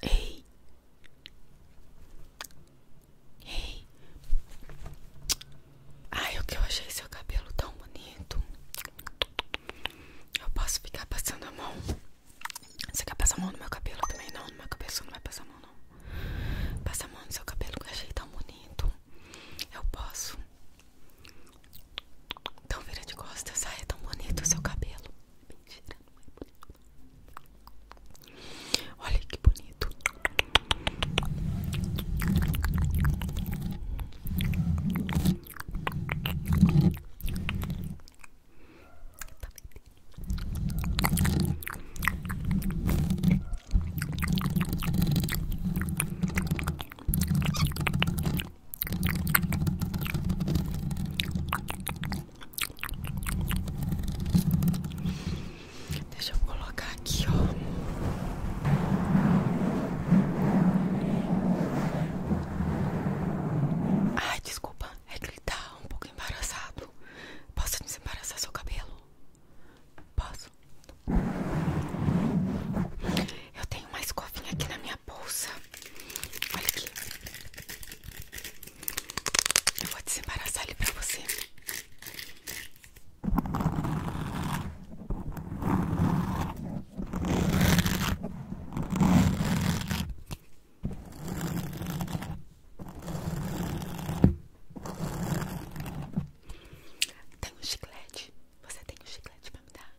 Ei. Ei. Ai, o que eu achei seu cabelo tão bonito. Eu posso ficar passando a mão. Você quer passar a mão no meu cabelo também? Não, no meu cabeça não vai passar a mão, não. Passa a mão no seu cabelo que eu achei tão bonito. Eu posso. Tão vira de costas. Ai, é tão bonito o seu cabelo. Mentira, não é bonito. Olha que bonito. Tá Deixa eu colocar aqui, ó. Ai, desculpa, é gritar tá um pouco embaraçado. Posso desembaraçar seu cabelo? Posso? Eu tenho uma escovinha aqui na minha bolsa. Olha aqui. Eu vou desembaraçar ali pra você. Tem um chiclete você tem um chiclete pra me dar?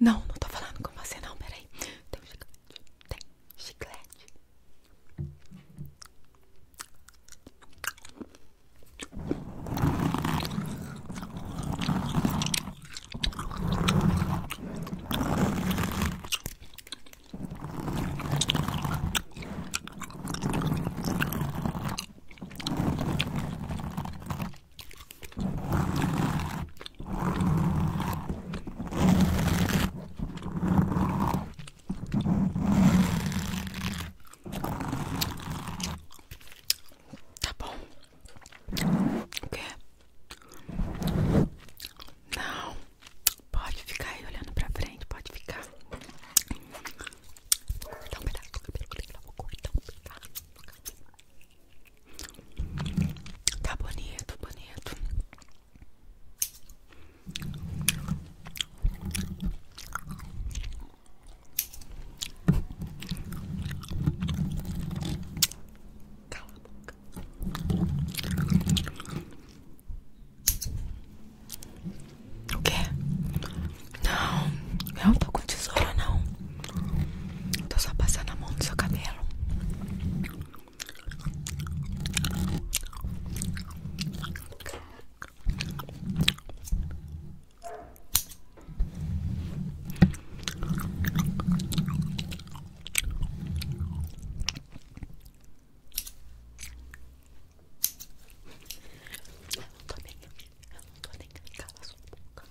Não, não tô falando com você não, peraí. Tem um chiclete. Tem chiclete. Tá bom. O quê? Não. Pode ficar aí olhando pra frente, pode ficar. Vou cortar um pedaço do cabelo dele, vou do Tá bonito, bonito. O que? Não, eu não tô com tesoura não. Tô só passando a mão no seu cabelo. Eu não tô nem cala sua boca.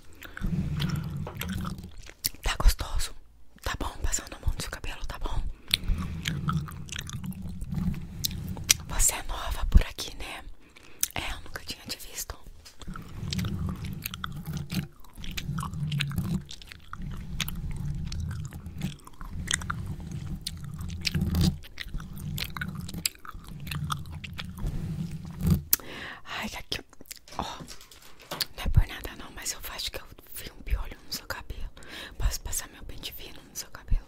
Tá gostoso? Tá bom? Passando a mão do seu cabelo, tá bom? Você é nova por aqui, né? É, eu nunca tinha te visto. Ai, aqui, é ó. Não é por nada, não, mas eu acho que eu vi um piolho no seu cabelo. Posso passar meu pente fino no seu cabelo?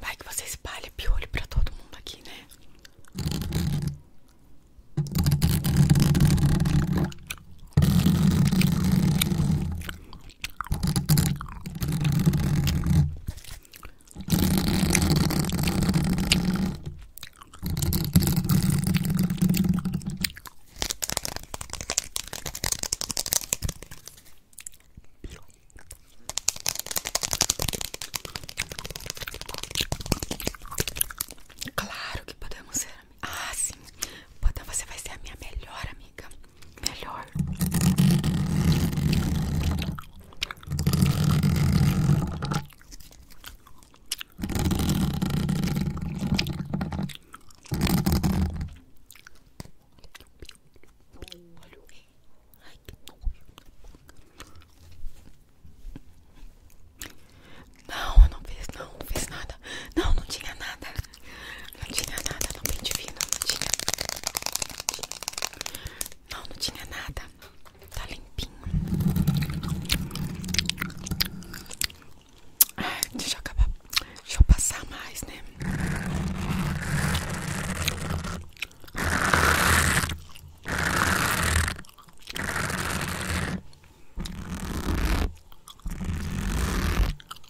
Vai que você espalha piolho pra todo mundo aqui, né? Claro que podemos ser. Ah, sim. Então você vai ser a minha melhor amiga melhor. Olha o Ai, que Não, não fiz, não, não fiz nada. Não, não tinha nada. Não tinha nada não bem divino, não tinha. Não, não tinha nada. Tá limpinho. deixa eu acabar. Deixa eu passar mais, né?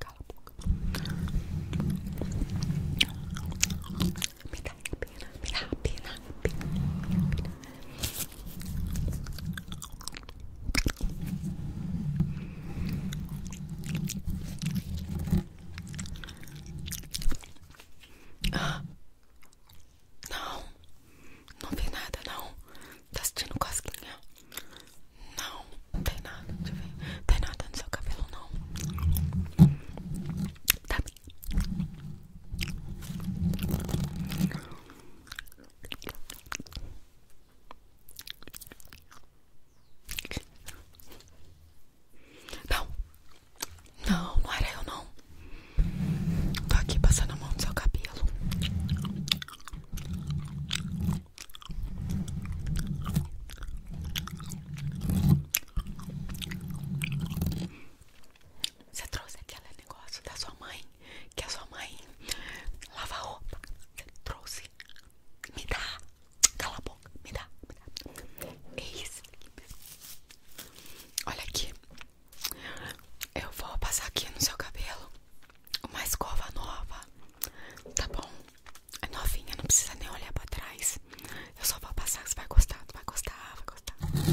Cala a boca. Me dá pena, me dá pena, Ah, não, não vi nada não. Tá sentindo cosquinha. Não, não tem nada, deixa eu ver. Tem nada no seu cabelo, não. Tá Não, não, não era eu não. Tô aqui passando a mão no seu cabelo. Você trouxe aquele negócio da sua mãe, que a sua mãe lava roupa. Você trouxe. Me dá. Cala a boca. Me dá. Me dá. É isso. Olha aqui. Eu vou passar aqui no seu cabelo uma escova nova Tá bom? É novinha, não precisa nem olhar pra trás. Eu só vou passar, você vai gostar, vai gostar, vai gostar.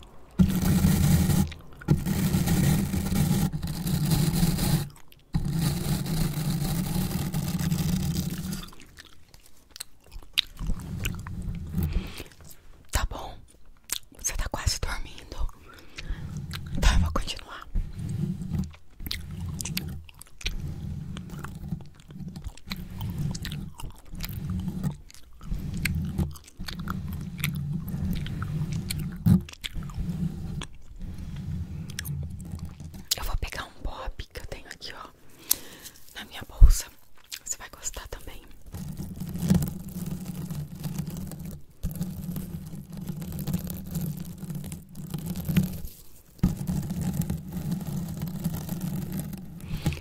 Tá bom, você tá quase dormindo. tá vou continuar. Eu vou pegar um Bob que eu tenho aqui, ó, na minha bolsa. Você vai gostar também.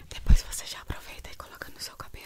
Depois você já aproveita e coloca no seu cabelo.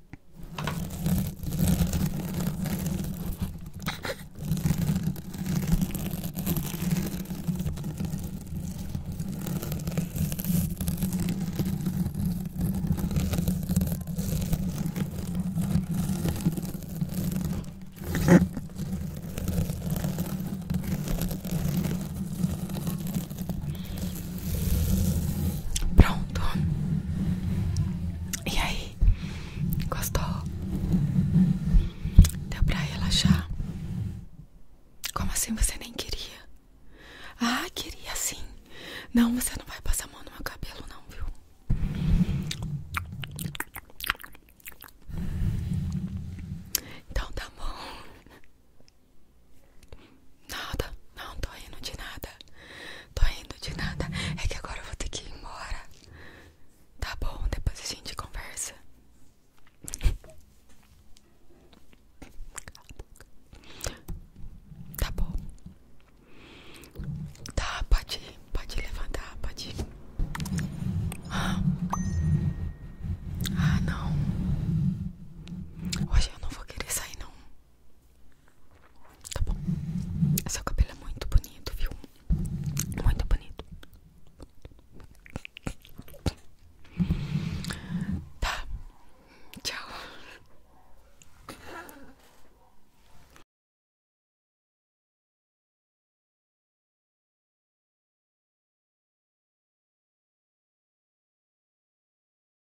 Pronto. E aí, Gostou? Deu pra relaxar? Como assim você nem queria? Ah, queria sim. Não, você não vai passar a mão no meu cabelo, não, viu? Então tá bom. Nada, não tô rindo de nada. Tô rindo de nada. É que agora eu vou ter que ir embora. Tá bom, depois a gente conversa. Tá bom. Tá, pode ir, pode levantar, pode Ah. ah, não. Hoje eu não vou querer sair, não. Tá bom. Seu cabelo é muito bonito, viu? Muito bonito. Tá. Tchau.